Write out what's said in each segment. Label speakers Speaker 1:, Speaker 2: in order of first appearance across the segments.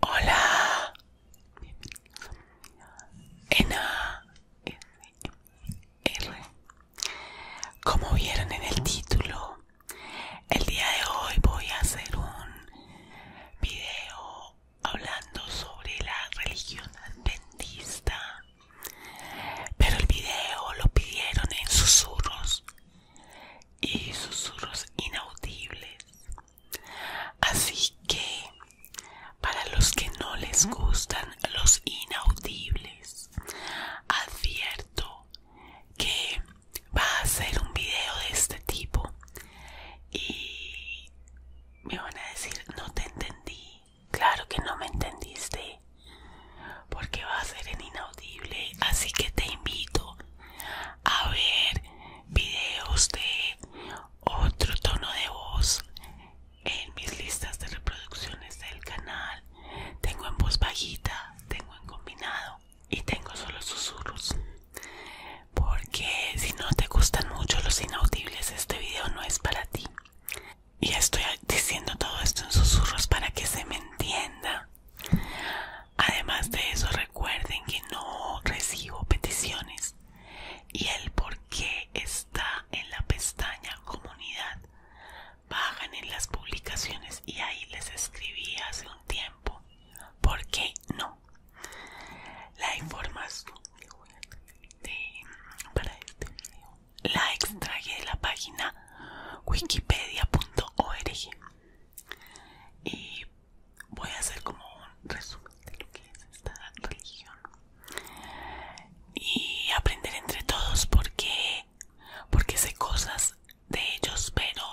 Speaker 1: Hola, en R. Como vieron en el título, el día de hoy voy a hacer un video hablando sobre la religión adventista, pero el video lo pidieron en susurros y susurros inaudibles. Así que, para los que no les gustan los inaudibles, advierto que va a ser un video de este tipo y me van a decir, no te entendí. Claro que no me entendiste. Porque va a ser en inaudible. Así que te invito a ver videos de otro tono de voz en mis listas de reproducciones del canal. Tengo en voz bajita, tengo en combinado y tengo solo susurros porque si no te gustan mucho los inaudibles este video no es para ti y estoy diciendo todo esto en susurros para que se me entienda además de eso recuerden que no recibo peticiones y el por qué está en la pestaña comunidad bajan en las publicaciones y ahí les escribí hace un tiempo por qué no la información para este la extraje de la página wikipedia.org y voy a hacer como un resumen de lo que es esta religión y aprender entre todos porque porque sé cosas de ellos pero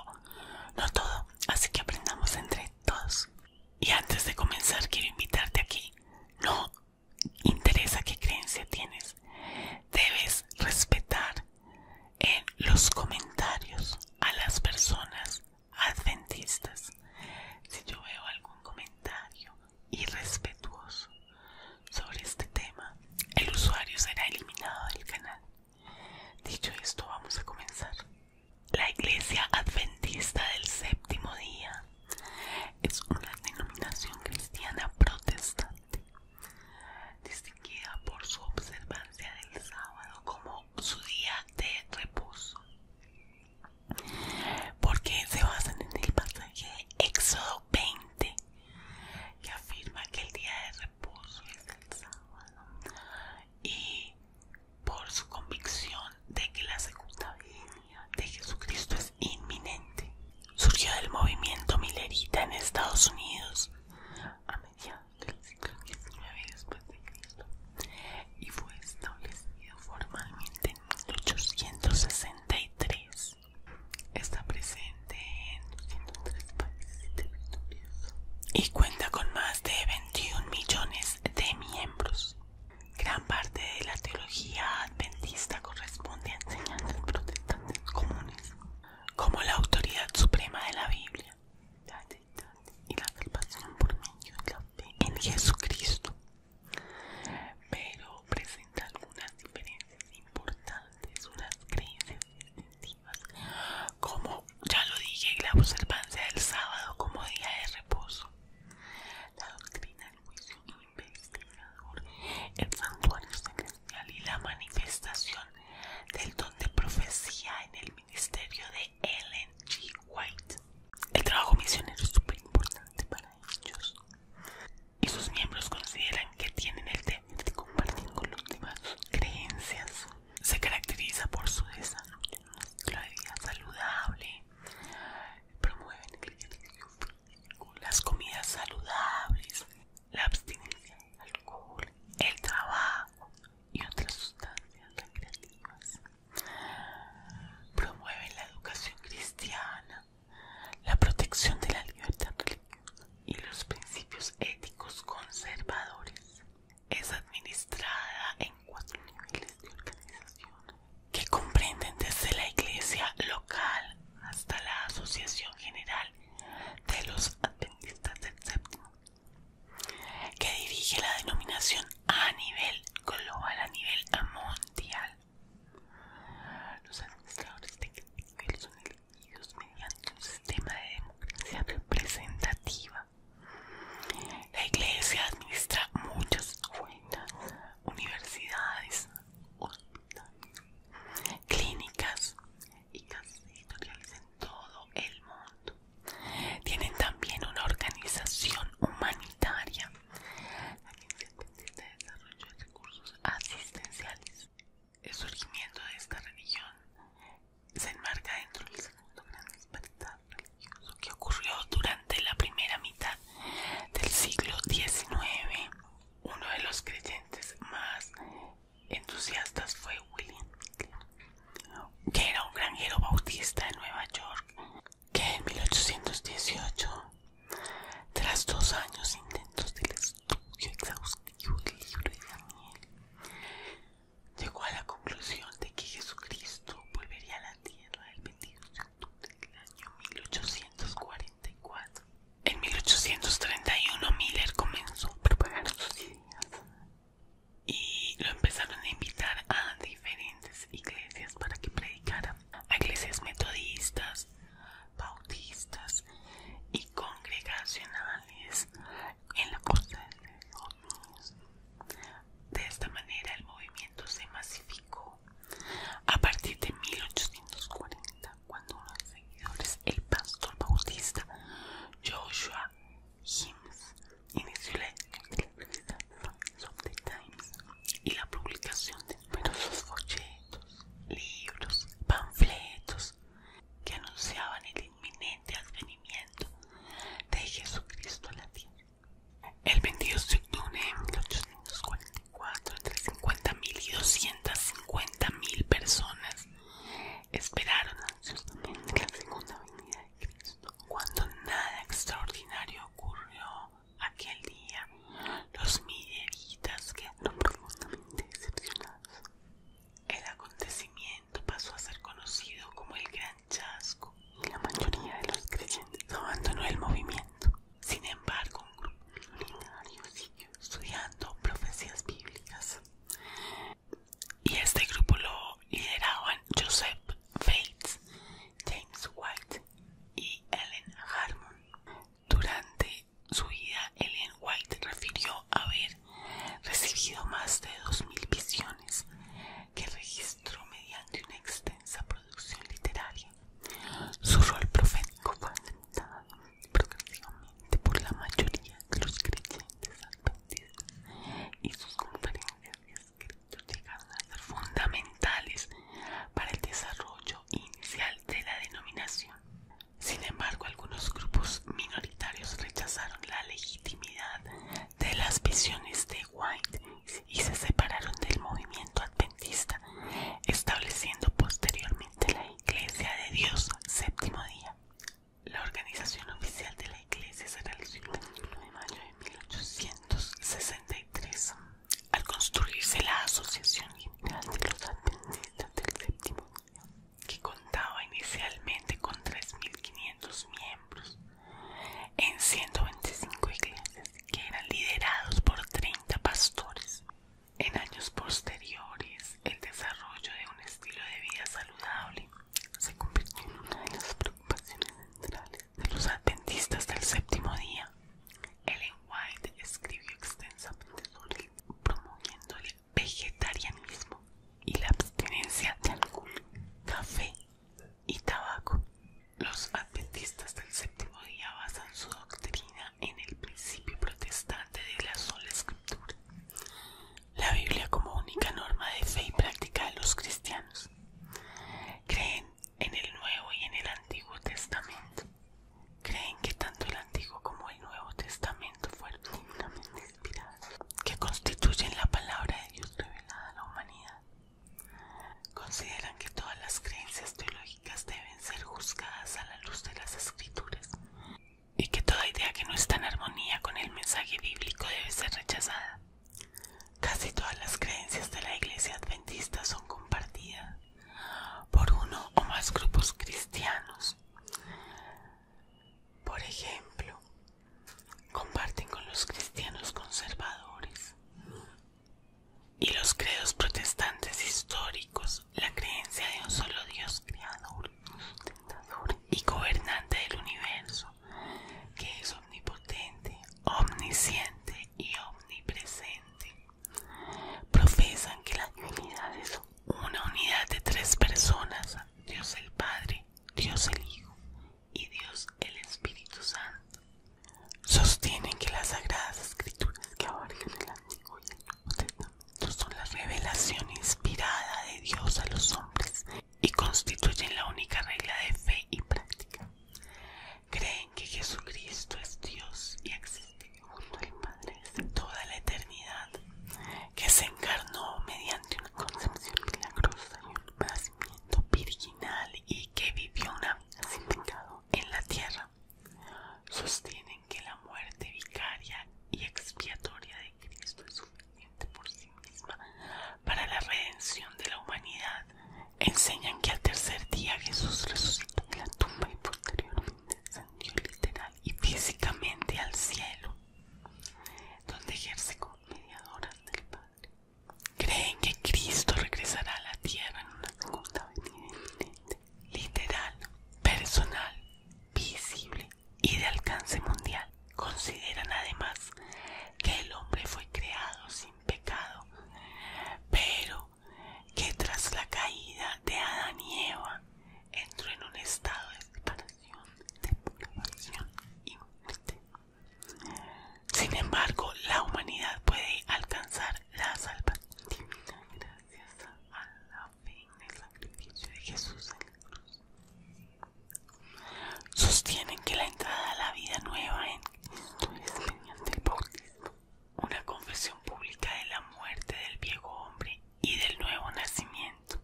Speaker 1: no todo así que aprendamos entre todos y antes de comenzar quiero invitarte aquí. No interesa qué creencia tienes. Debes respetar en los comentarios a las personas adventistas. Si yo veo algún comentario irrespetuoso sobre este tema, el usuario será eliminado del canal. Dicho esto, vamos a comenzar. La Iglesia Adventista del Séptimo Día es una denominación cristiana protestante, distinguida por su observancia del sábado como su día de reposo, porque se basan en el pasaje de Éxodo 20, que afirma que el día de reposo es el sábado y por su convicción de que la segunda venida de Jesucristo es inminente. Surgió del movimiento milerita en Estados Unidos a mediados del siglo XIX después de Cristo y fue establecido formalmente en 1863. Está presente en 203 países y y cuenta con más de 21 millones de miembros. Gran parte de la teología adventista corresponde a enseñanzas protestantes comunes, como la autoridad suprema de la Biblia y la salvación por medio de la fe en Jesucristo, pero presenta algunas diferencias importantes, unas creencias distintivas como ya lo dije, la observancia del sábado como día de reposo. La doctrina del juicio investigador, el santuario celestial y la manifestación del don de profecía en el ministerio de Ellen G. White. El trabajo misionero es súper importante para ellos y sus miembros consideran que tienen el deber de compartir con los demás creencias se caracteriza por su desarrollo saludable, promueven el las comidas saludables, la abstinencia del alcohol, el trabajo y otras sustancias recreativas. Promueven la educación cristiana, la protección de la libertad religiosa y los principios éticos conservadores es administrada en cuatro niveles de organización que comprenden desde la iglesia local hasta la Asociación General de los Adventistas del Séptimo, que dirige la denominación a nivel global, a nivel mundial. Los administradores de cada nivel son elegidos mediante un sistema de democracia representativa la iglesia administra muchas buenas universidades, clínicas y casas editoriales en todo el mundo. Tienen también una organización humanitaria, la que se de desarrollo de recursos asistenciales. El surgimiento de esta religión se enmarca dentro del segundo gran despertar religioso que ocurrió durante la primera mitad del siglo XIX. Uno de los creyentes más entusiastas fue William que era un granjero bautista de Nueva York, que en 1818, tras dos años intentos del estudio exhaustivo del libro de Daniel, llegó a la conclusión de que Jesucristo volvería a la tierra el 22 de octubre del año 1844. En 1831 Miller comenzó a propagar sus ideas y lo empezaron a invitar a diferentes iglesias para que predicaran a iglesias metodistas, bautistas y congregacionales en la costa de esta manera el movimiento se masificó a partir de 1840 cuando los seguidores, el pastor bautista Joshua Himes, inició la revista de the Times y la publicación de numerosos folletos, libros, panfletos que anunciaban el inminente de advenimiento de Jesucristo a la tierra. El 22 de octubre de 1844, entre 50.000 y 250.000 personas esperaron ansiosamente la segunda venida de Cristo. Cuando nada extraordinario ocurrió aquel día, los milleritas quedaron profundamente decepcionados. El acontecimiento pasó a ser conocido como el Gran Chasco y la mayoría de los creyentes abandonó el movimiento. Sin embargo, un grupo milenario siguió estudiando profecías bíblicas y este grupo lo lideraban Joseph Bates, James White y Ellen Harmon. Durante su vida, Ellen White refirió haber recibido más de 2.000 visiones que registró mediante una extensa producción literaria. Su rol profético fue aceptado progresivamente por la mayoría de los creyentes adventistas y sus conferencias y escritos llegaron a ser fundamentales para el desarrollo inicial de la denominación. Sin embargo, algunos grupos minoritarios rechazaron la legitimidad de las visiones de White y se separaron del movimiento adventista, estableciendo posteriormente la Iglesia de Dios Séptimo Día. La organización oficial de la Iglesia será el 21 de mayo de 1863, al construirse la Asociación General de los Adventistas del Séptimo Día que contaba inicialmente con 3.500 miembros en 125 iglesias que eran liderados por 30 pastores. En años posteriores, el desarrollo de un estilo de vida saludable se convirtió en una de las preocupaciones centrales de los adventistas del séptimo día. Ellen White escribió extensamente sobre él, promoviendo el vegetarianismo y la abstinencia de algún café y tabaco. Los adventistas del séptimo día basan su doctrina en el principio protestante de la sola escritura, la Biblia como única norma de fe y práctica de los cristianos. Creen en el Nuevo y en el Antiguo Testamento. Creen que tanto el Antiguo como el Nuevo Testamento fueron divinamente que constituyen la palabra de Dios revelada a la humanidad. Consideran que todas las creencias teológicas deben ser juzgadas a la luz de las escrituras y que toda idea que no está en armonía con el mensaje bíblico debe ser rechazada. Casi todas las creencias de la iglesia adventista son compartidas por uno o más grupos cristianos. Por ejemplo, comparten con los cristianos conservadores y los credos protestantes históricos la creencia de un solo Dios creador, tentador y gobernante del universo, que es omnipotente, omnisciente y omnipresente. Profesan que la divinidad es una unidad de tres personas, Dios el Padre, Dios el Hijo y Dios el Espíritu Santo. Sostienen que las sagradas escrituras que abarcan el Antiguo y el Nuevo Testamento son la revelación inspirada de Dios a los hombres y constituyen la única regla de fe y práctica. Creen que Jesucristo es Dios y existe Segundo el Padre de toda la eternidad, que se encarnó mediante una concepción milagrosa y un nacimiento virginal y que vivió una vida sin pecado en la tierra. Sostienen que la muerte vicaria y expiatoria de Cristo es suficiente por sí misma para la redención de la humanidad. Enseñan que al tercer día Jesús resucitó de la tumba y posteriormente descendió literal y físicamente al cielo, donde ejerce como mediadora del Padre. Creen que Cristo regresará a la tierra en una segunda venida literal, personal, visible y de alcance mundial. Consideran además que el hombre fue creado sin pecado, pero que tras la caída de Adán y Eva entró en un estado de separación, de y muerte. Sin embargo, la humanidad puede alcanzar la salvación gracias a la fe en el sacrificio de Jesús en la cruz. Sostienen que la entrada a la vida nueva en Cristo es mediante el bautismo, una confesión pública de la muerte del viejo hombre y del nuevo nacimiento.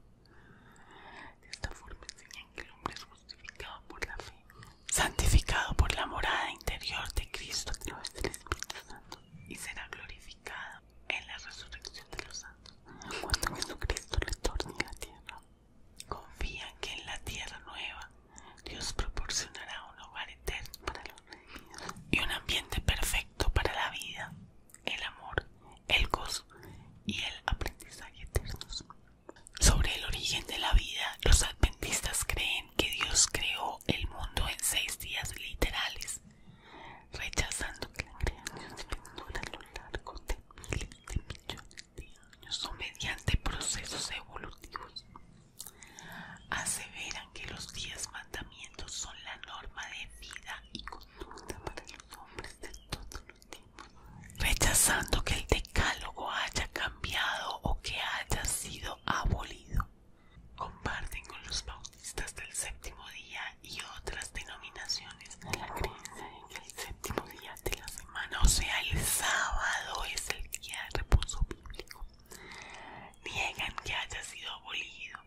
Speaker 1: De esta forma enseñan que el hombre es justificado por la fe, santificado por la morada interior de Cristo a través del Espíritu Santo y será glorificado en la resurrección de los santos. Cuando Jesucristo retorne a la tierra, confían que en la tierra nueva Dios proporcionará un hogar eterno para los reyes y un ambiente perfecto para la vida el amor, el gozo y el aprendizaje eternos. Sobre el origen de la vida, los adventistas creen que Dios creó el mundo en seis días literales, rechazando que la creación se a lo largo de miles de millones de años o mediante procesos evolutivos. Aseveran que los días más son la norma de vida y conducta para los hombres de todos los tiempos. Rechazando que el decálogo haya cambiado o que haya sido abolido. Comparten con los bautistas del séptimo día y otras denominaciones la creencia en que el séptimo día de la semana, o sea el sábado, es el día de reposo bíblico. Niegan que haya sido abolido,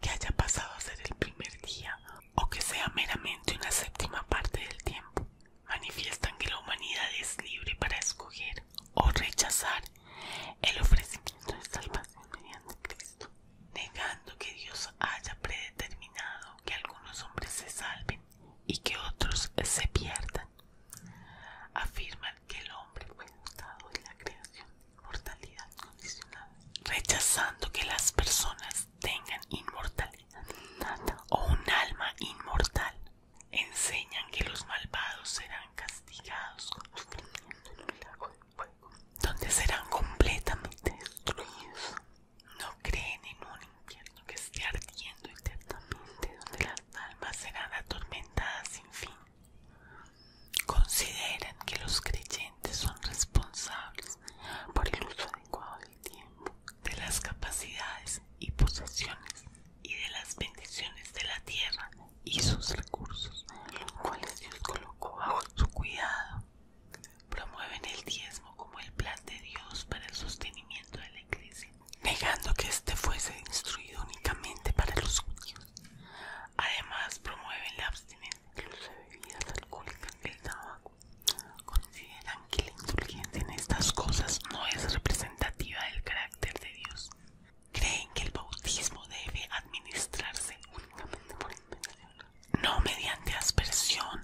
Speaker 1: que haya pasado a ser el primer día o que sea meramente una séptima parte del tiempo. Manifiestan que la humanidad es libre para escoger o rechazar el ofrecimiento de salvación mediante Cristo, negando que Dios haya predeterminado que algunos hombres se salven y que otros se pierdan. Afirman que el hombre fue dotado de la creación de inmortalidad condicionada, rechazando que las personas tengan inmortalidad o un alma inmortal. Enseñan que los malvados serán castigados constantemente en el lago de fuego, donde serán completamente destruidos. No creen en un infierno que esté ardiendo eternamente, donde las almas serán atormentadas sin fin. Consideran que los creyentes son responsables por el uso adecuado del tiempo, de las capacidades y posesiones y de las bendiciones de la tierra y sus recursos, los cuales Dios colocó bajo su cuidado. Promueven el diezmo como el plan de Dios para el sostenimiento de la iglesia, negando que este fuese instruido únicamente para los judíos Además, promueven la abstinencia de bebidas alcohólicas y el tabaco. Consideran que la indulgencia en estas cosas no es representativa del carácter de Dios. Creen que el bautismo debe administrarse únicamente por inmersión, no mediante aspersión,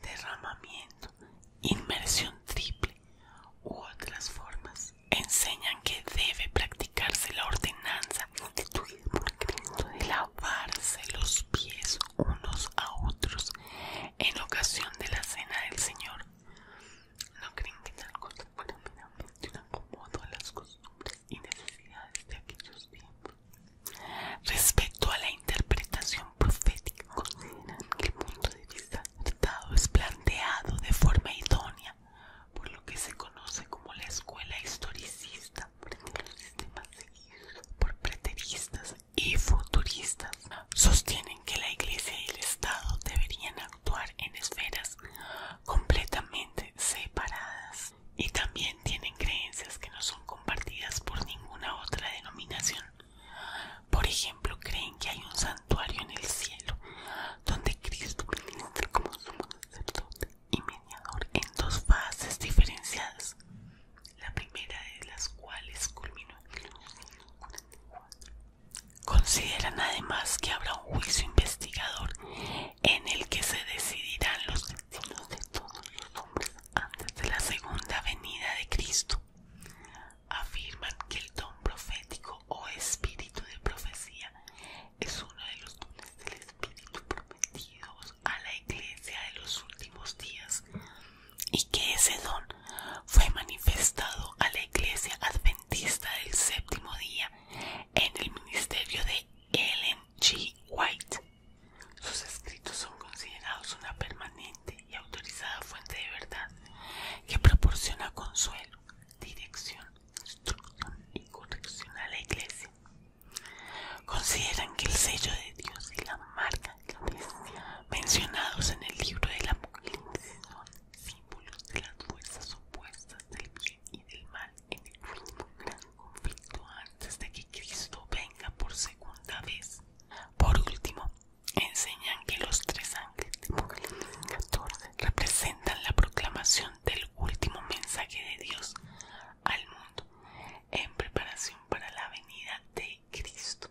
Speaker 1: derramamiento, inmersión triple u otras formas enseñan que debe practicarse la ordenanza de lavarse los pies unos a otros en ocasión de la cena del Señor. No creen que tal cosa un acomodo a las costumbres y necesidades de aquellos tiempos. Respecto a la interpretación profética, consideran que el punto de vista Estado es planteado de forma idónea por lo que se conoce como la escuela historicista por los sistemas seguidos por preteristas y futuristas. Sostienen que la Iglesia y el Estado deberían actuar en esferas completamente separadas y también tienen creencias que no son compartidas por ninguna otra denominación. Por ejemplo, creen que hay un santuario en el cielo donde Cristo ministra como sumo sacerdote y mediador en dos fases diferenciadas, la primera de las cuales culminó en el 44. Consideran además que habrá un juicio investigador en el que se decidirán los destinos de todos los hombres antes de la segunda venida de Cristo. Afirman que el don profético o espíritu de profecía es uno de los dones del espíritu prometidos a la iglesia de los últimos días y que ese don fue manifestado a la iglesia adventista del séptimo día en el ministerio de Ellen G. White. Sus escritos son considerados una permanente y autorizada fuente de verdad que proporciona consuelo, dirección, instrucción y corrección a la iglesia. Consideran que el sello de Dios y la marca de la bestia mencionados en el libro de la Apocalipsis son símbolos de las fuerzas opuestas del bien y del mal en el último gran conflicto antes de que Cristo venga por segunda vez. Por último, enseñan que los tres ángeles de Apocalipsis 14 representan la proclamación del último mensaje de Dios al mundo en preparación para la venida de Cristo.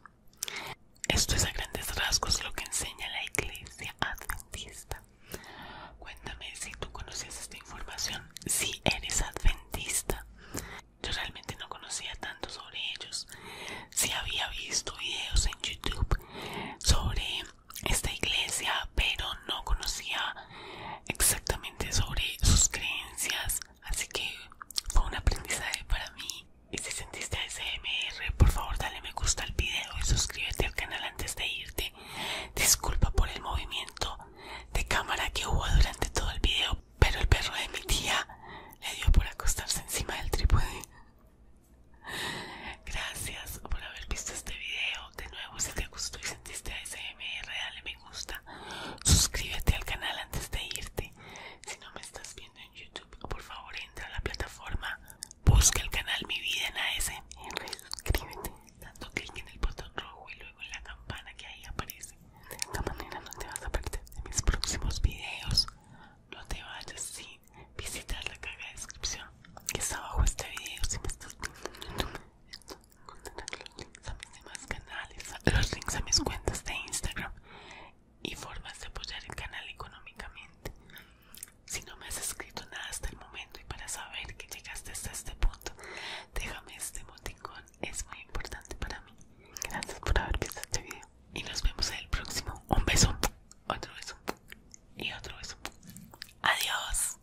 Speaker 1: Esto es a grandes rasgos lo que enseña la iglesia adventista. Cuéntame si tú conocías esta información, si eres adventista. Yo realmente no conocía tanto sobre ellos. Si había visto videos en YouTube sobre esta iglesia, pero no conocía exactamente sobre sus creencias, así que fue un aprendizaje para mí. Y si sentiste smr por favor dale me gusta al video y suscríbete al canal antes de irte. Disculpa por el movimiento de cámara que hubo durante todo el video, pero el perro de mi tía le dio por acostarse encima del trípode. Gracias por haber visto este video. De nuevo, si te gustó y sentiste ASMR, dale me gusta. Suscríbete al canal antes de irte. Si no me estás viendo en YouTube, por favor entra a la plataforma. Busca el canal Mi Vida en ASMR. Suscríbete dando clic en el botón rojo y luego en la campana que ahí aparece. De esta manera no te vas a perder de mis próximos videos no te vayas sin visitar la caja de descripción que está abajo este video si me estás viendo esto, los links a mis demás canales los links a mis cuentas de Instagram y formas de apoyar el canal económicamente si no me has escrito nada hasta el momento y para saber que llegaste hasta este punto déjame este botón. es muy importante para mí gracias por haber visto este video y nos vemos en el próximo. Un beso, otro beso y otro beso. Adiós.